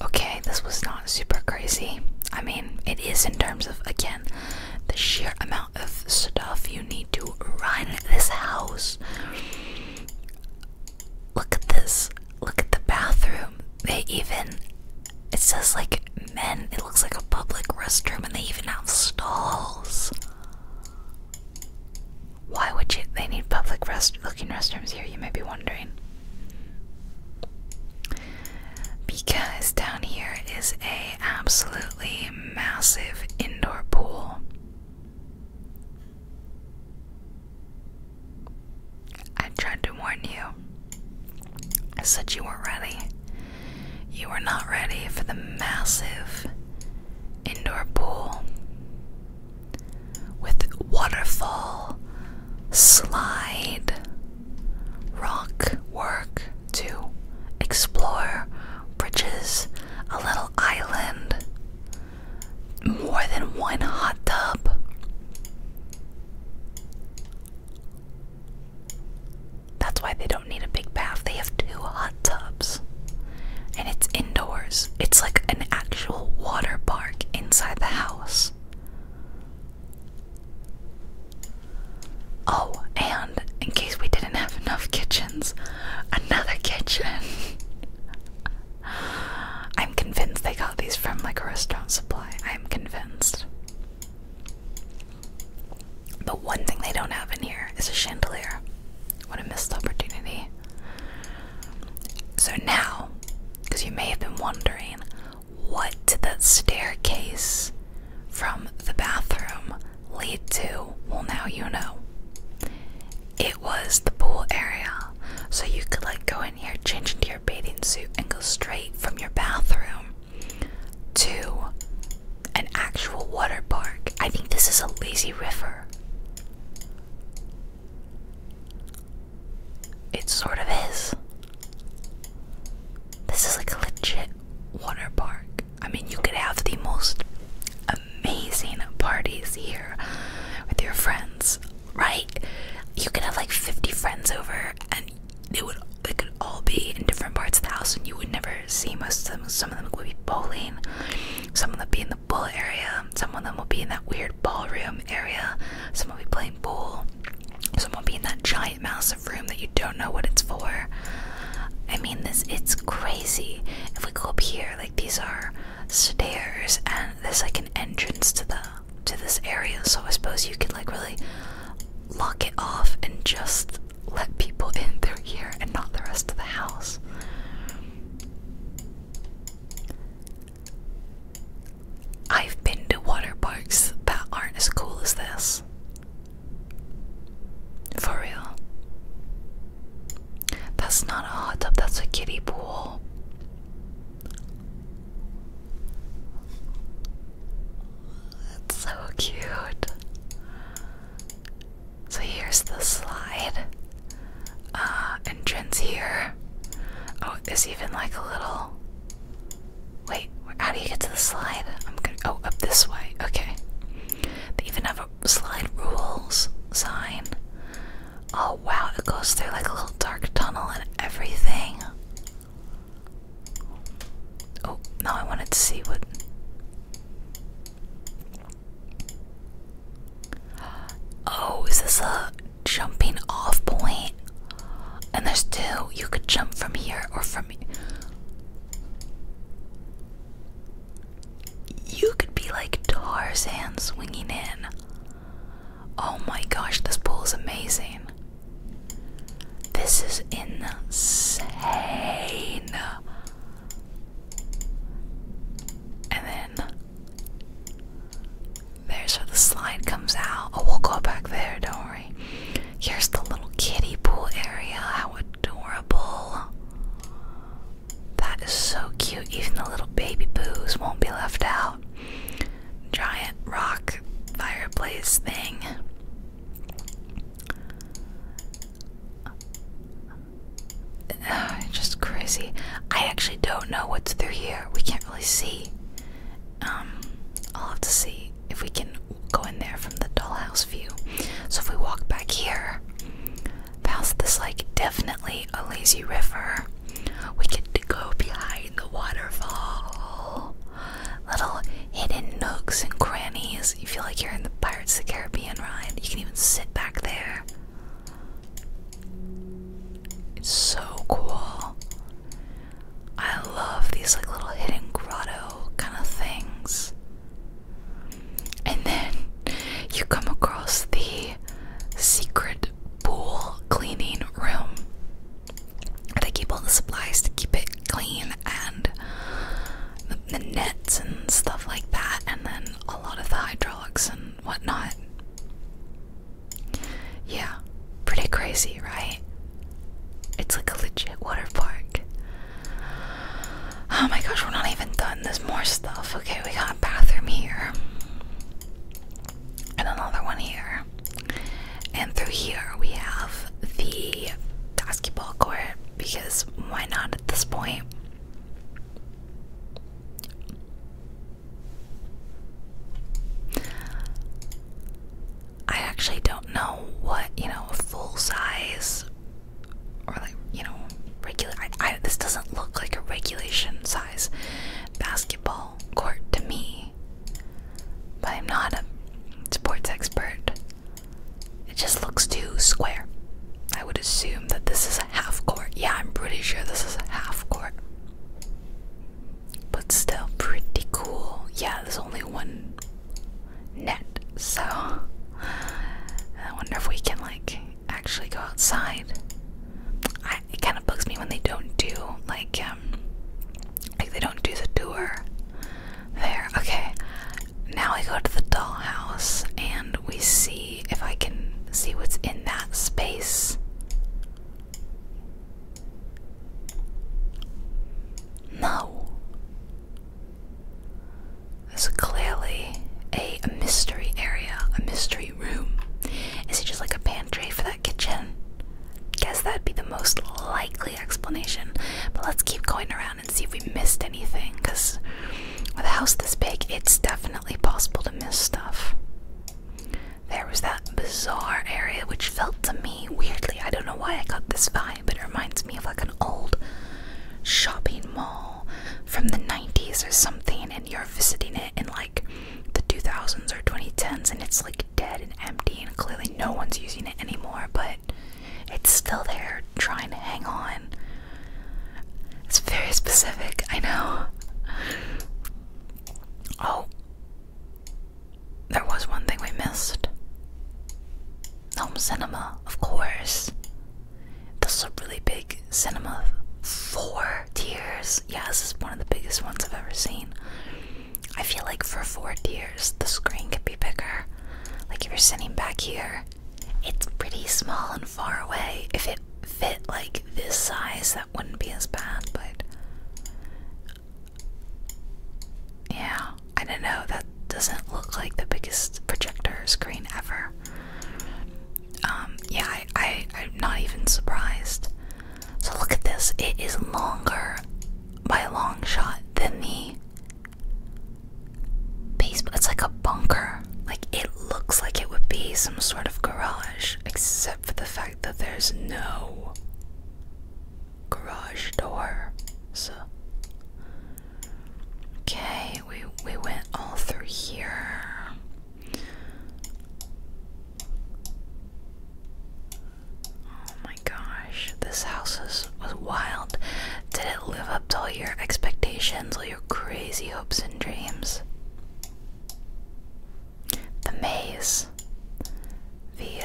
Okay, this was not super crazy. I mean, it is in terms of, again, the sheer amount of stuff you need to run this house. Look at this. Look at the bathroom. They even. It says like men. It looks like a public restroom and they even have stalls. Why would you. They need public rest looking restrooms here, you may be wondering. Because down here is a absolutely massive indoor pool. I tried to warn you. I said you weren't ready. You were not ready for the massive indoor pool with waterfall, slide, rock work to explore, bridges, a little island, more than one hot tub. That's why they don't need a big bath. They have two hot tubs. And it's indoors. It's like an actual water park inside the house. Oh, and in case we didn't have enough kitchens, another kitchen. I'm convinced they got these from like a restaurant supply. I'm convinced. The one thing they don't have in here is a chandelier. What a missed opportunity. So now, because you may have been wondering, what did that staircase from the bathroom lead to? Well, now you know it was the pool area, so you could like go in here, change into your bathing suit, and go straight from your bathroom to an actual water park. I think this is a lazy river. It sort of is. This is like a legit water park. I mean, you could have the most amazing parties here with your friends right? You could have like 50 friends over, and they would they could all be in different parts of the house, and you would never see most of them. Some of them would be bowling, some of them would be in the pool area, some of them will be in that weird ballroom area, some will be playing pool, some will be in that giant massive room that you don't know what it's for. I mean, this it's crazy. If we go up here, like these are stairs and there's like an entrance to the to this area so I suppose you could like really lock it off and just let people in through here and not the rest of the house. I've been to water parks that aren't as cool as this. For real. That's not a hot tub, that's a kiddie pool. That's so cute. So here's the slide. Uh, entrance here. Oh, there's even like a little. Wait, how do you get to the slide? I'm gonna. Oh, up this way. Okay. They even have a slide rules sign. Oh wow, it goes through like a little dark tunnel and everything. Oh, now I wanted to see what. Oh, is this a jumping off point? And there's two. You could jump from here or from. You could be like Tarzan swinging in. Oh my gosh, this pool is amazing. This is insane. And then there's where the slide comes out. Oh, we'll go back there, don't worry. Here's the little kiddie pool area. How adorable. That is so cute. Even the little baby boos won't be left out. Giant rock fireplace thing. just crazy. I actually don't know what's through here. We can't really see. Um, I'll have to see if we can go in there from the dollhouse view. So if we walk back here, past this like definitely a, lazy river. We get to go behind the waterfall. Little hidden nooks and crannies. You feel like you're in the Pirates of the Caribbean ride. You can even sit back there. It's so cool. I love these like little hidden grotto kind of things. And then you come across the secret pool cleaning room where they keep all the supplies to keep it clean and the nets and stuff like that, and then a lot of the hydraulics and whatnot. Yeah, pretty crazy, right? It's like a legit water park. Oh my gosh, we're not even done. There's more stuff. Okay, we got a bathroom here and another one here. And through here we have the basketball court because why not at this point? I actually don't know what, you know, full size or like, you know, regular. I, I, this doesn't look like a regulation size basketball court to me. But I'm not a sports expert. It just looks too square. I would assume that this is a half court. Yeah, I'm pretty sure this is a half court. But still pretty cool. Yeah, there's only one net, so I wonder if we can like actually go outside it kind of bugs me when they don't do like um, like they don't do the tour there. Okay, now we go to the dollhouse and we see if I can see what's in that space. No. This is clearly a mystery area, a mystery room? Is it just like a pantry for that kitchen? Guess that'd be the most likely explanation. But let's keep going around and see if we missed anything, because with a house this big, it's definitely possible to miss stuff. There was that bizarre area which felt to me weirdly, I don't know why I got this vibe, but it reminds me of like an old shopping mall from the 90s or something, and you're visiting it in like the 2000s or 2010s and it's like dead and empty and clearly no one's using it anymore but it's still there trying to hang on it's very specific i know oh there was one thing we missed home cinema of course this is a really big cinema for Tears. tiers. Yeah, this is one of the biggest ones I've ever seen. I feel like for four tears, the screen could be bigger. Like if you're sitting back here, it's pretty small and far away. If it fit like this size, that wouldn't be as bad, but. Yeah, I don't know. That doesn't look like the biggest projector screen ever. Um, yeah, I, I'm not even surprised. So look at this, it is longer by a long shot than the baseball. It's like a bunker. Like it looks like it would be some sort of garage, except for the fact that there's no garage door. So Okay, we we went all through here. Oh my gosh, this house was wild. Did it live up to all your expectations, all your crazy hopes and dreams? The maze. The,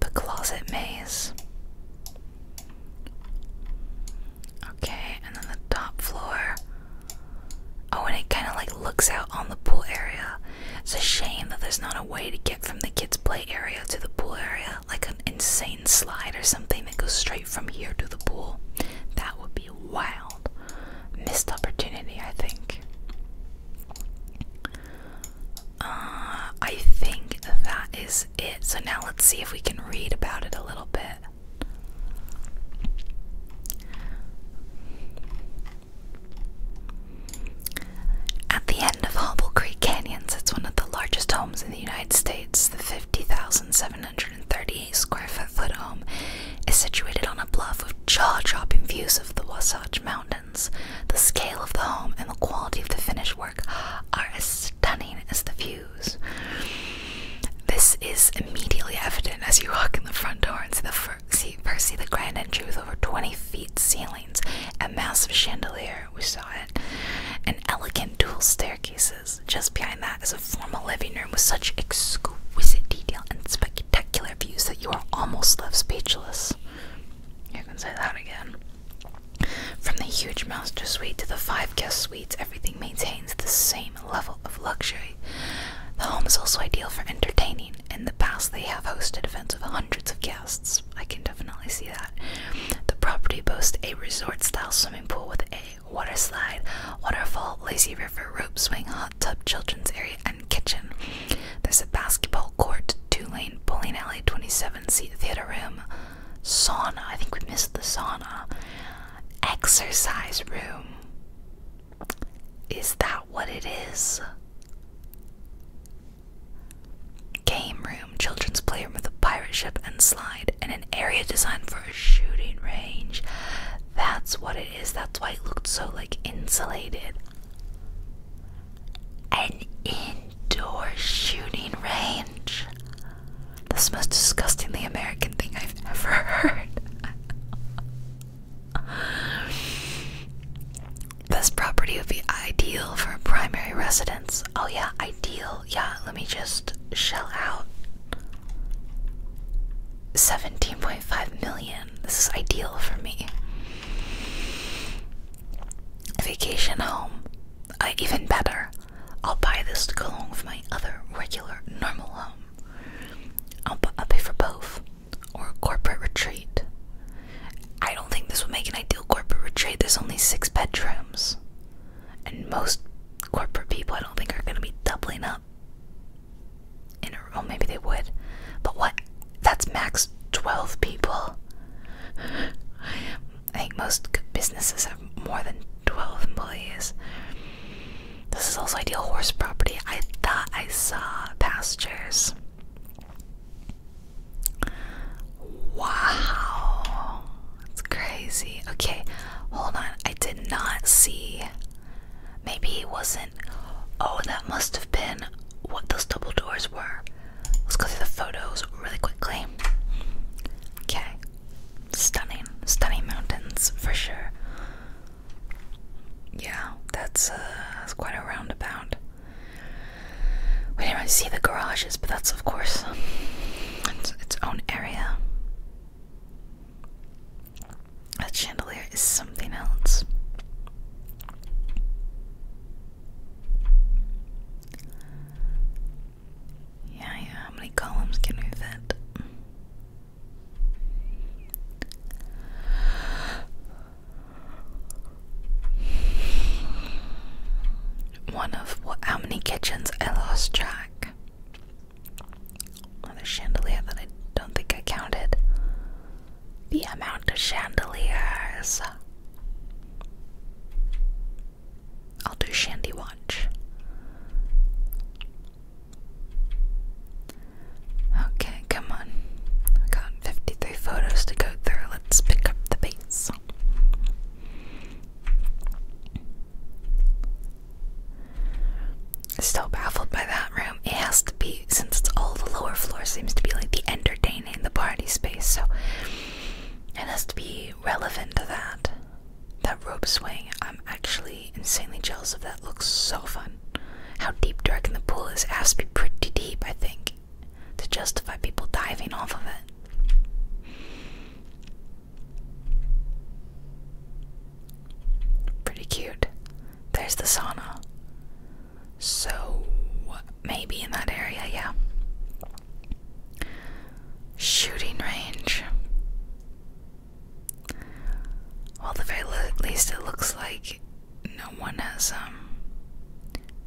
the closet maze. Okay, and then the top floor. Oh, and it kind of like looks out on the pool area. It's a shame that there's not a way to get from the kids' play area to the pool area, like an insane slide or something that goes straight from here to the pool. That would be wild. Missed opportunity, I think. Uh, I think that is it. So now let's see if we can read about it a little bit. At the end of Hobble Creek Canyon sits one of the largest homes in the United States. The 50,738 square foot home is situated on a bluff with jaw dropping views of the Wasatch Mountains. The scale of the home and the quality of the finish work are as stunning as the views. This is immediately evident as you walk in the front door and see the fir see Percy, the grand entry with over 20 feet ceilings, a massive chandelier, we saw it, and elegant dual staircases. Just behind that is a formal living room with such exquisite detail and spectacular views that you are almost left speechless. You can say that again. From the huge master suite to the five guest suites, everything maintains the same level of luxury the home is also ideal for entertaining. In the past, they have hosted events with hundreds of guests. I can definitely see that. The property boasts a resort style swimming pool with a water slide, waterfall, lazy river, rope swing, hot tub, children's area, and kitchen. There's a basketball court, two lane bowling alley, 27 seat theater room, sauna. I think we missed the sauna. Exercise room. Is that what it is? Game room, children's playroom with a pirate ship and slide, and an area designed for a shooting range. That's what it is. That's why it looked so like insulated. An indoor shooting range. That's the most disgustingly American thing I've ever heard. This property would be ideal for a primary residence. Oh, yeah, ideal. Yeah, let me just shell out 17.5 million. This is ideal for me. vacation home. Uh, even better. I'll buy this to go along with my other regular normal home. I'll pay for both or a corporate retreat. I don't think this would make an ideal corporate retreat. There's only six bedrooms. And most corporate people, I don't think, are going to be doubling up in a room. Oh, maybe they would. But what? That's max 12 people. I think most businesses have more than 12 employees. This is also ideal horse property. I thought I saw pasture pictures. Wow, it's crazy. Okay, hold on. I did not see. Maybe it wasn't. Oh, that must have been what those double doors were. Let's go through the photos really quickly. Okay, stunning, stunning mountains for sure yeah, that's, uh, that's quite a roundabout. We didn't really see the garages, but that's, of course, um, its, own area. That chandelier is something else. Yeah, yeah, how many columns can we fit? One of what? How many kitchens? I lost track. Another chandelier that I don't think I counted. The amount of chandeliers. I'll do Shandy Watch. Okay, come on. We got 53 photos to go through. Let's pick up the pace. Still baffled by that room. It has to be, since it's all the lower floor, seems to be like the entertaining, the party space, so it has to be relevant to that. That rope swing, I'm actually insanely jealous of that. Looks so fun. How deep dark, I the pool is? It has to be pretty deep, I think, to justify people diving off of it. Pretty cute. There's the sauna. So, maybe in that area, yeah. Shooting range. Well, the very least, it looks like no one has um,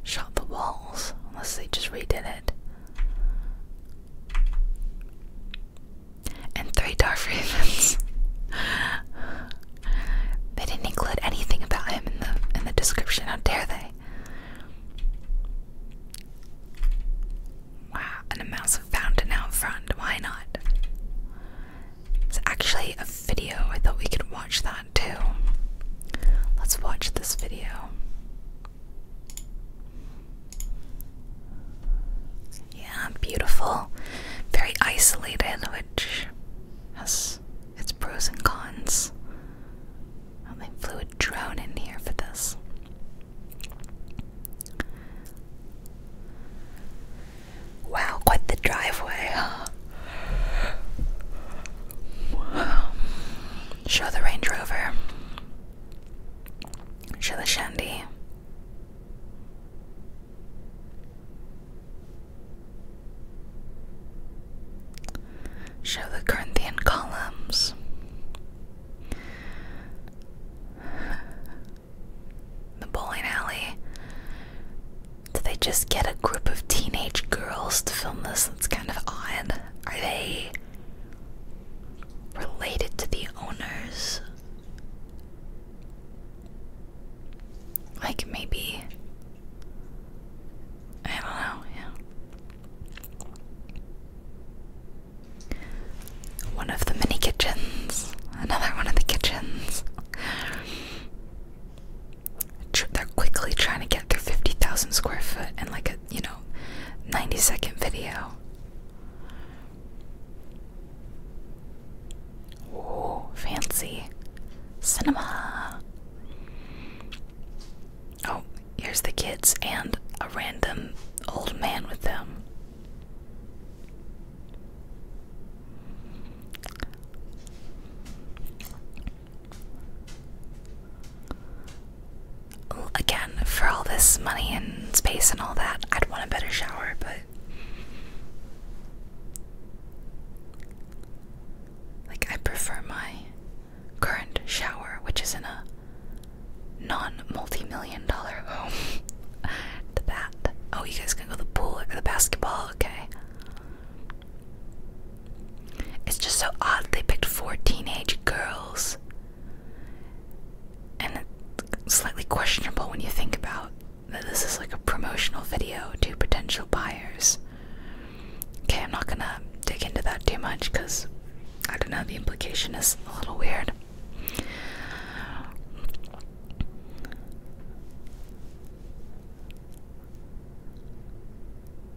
shot the walls unless they just redid it. And three Dark Ravens. they didn't include anything about him in the in the description. How dare they? Wow, and a mouse fountain out front. Why not? It's actually a video. I thought we could watch that too. Let's watch this video. Yeah, beautiful. Very isolated, which has its pros and cons. I they flew a drone in here for this. Wow, quite the driveway, huh? Show the Range Rover. Show the Shandy. Show the Corinthian columns. The bowling alley. Did they just get a group of teenage girls to film this? That's kind of odd. Are they related to the owners? Like maybe. I don't know, yeah. One of the mini kitchens. Another one of the kitchens they're quickly trying to get their 50,000 square foot in like a, you know, 90 second video. Oh, fancy. Cinema. Oh, here's the kids and a random old man with them. Again, for all this money and space and all that, I'd want a better shower, but. Like, I prefer my current shower, which is in a non multi million dollar home, to that. Oh, you guys can go to the pool or the basketball? Okay. It's just so odd they picked four teenage girls. And it's slightly questionable when you think about that this is like a promotional video to potential buyers. Okay, I'm not gonna dig into that too much because I don't know, the implication is a little weird.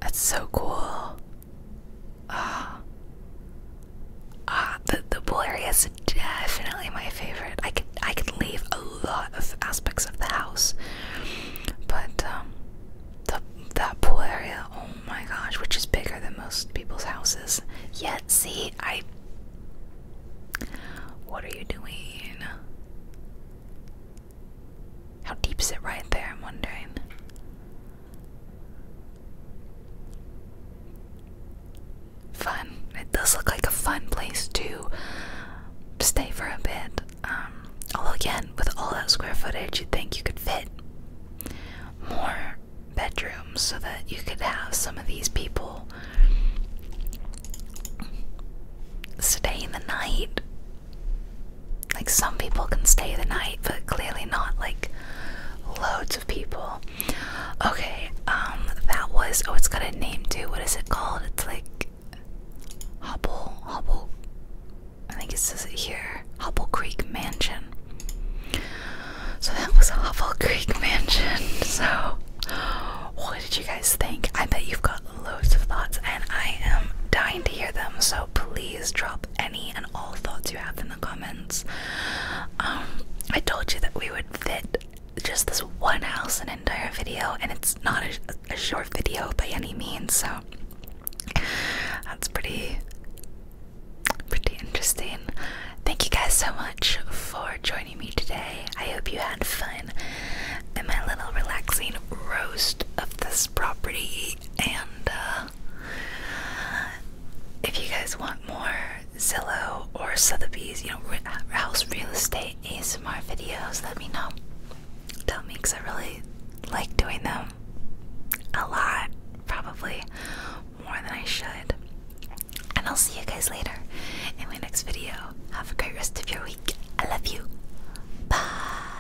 That's so cool. Ah, ah, the the pool area is definitely my favorite. I could I could leave a lot of aspects of the house, but um, the that pool area, oh my gosh, which is bigger than most people's houses. Yet, see, I. What are you doing? How deep is it right there? I'm wondering. Fun. It does look like a fun place to stay for a bit. Um, although, again, with all that square footage, you'd think you could fit more bedrooms so that you could have some of these people Stay in the night. Like some people can stay the night, but clearly not like loads of people. Okay, um, that was oh, it's got a name too. What is it called? It's like Hubble, Hubble. I think it says it here. Hubble Creek Mansion. So that was Hubble Creek Mansion. So, what did you guys think? I bet you've got loads of thoughts, and I am dying to hear them. So please drop any and all thoughts you have in the comments. Um, I told you that we would fit just this one house an entire video, and it's not a, a short video by any means. So that's pretty, pretty interesting. Thank you guys so much for joining me today. I hope you had fun in my little relaxing roast of this property. And uh, if you guys want more Zillow or Sotheby's, you know, house real estate ASMR videos, let me know. Tell me because I really like doing them a lot, probably more than I should. And I'll see you guys later in my next video have a great rest of your week. I love you. Bye.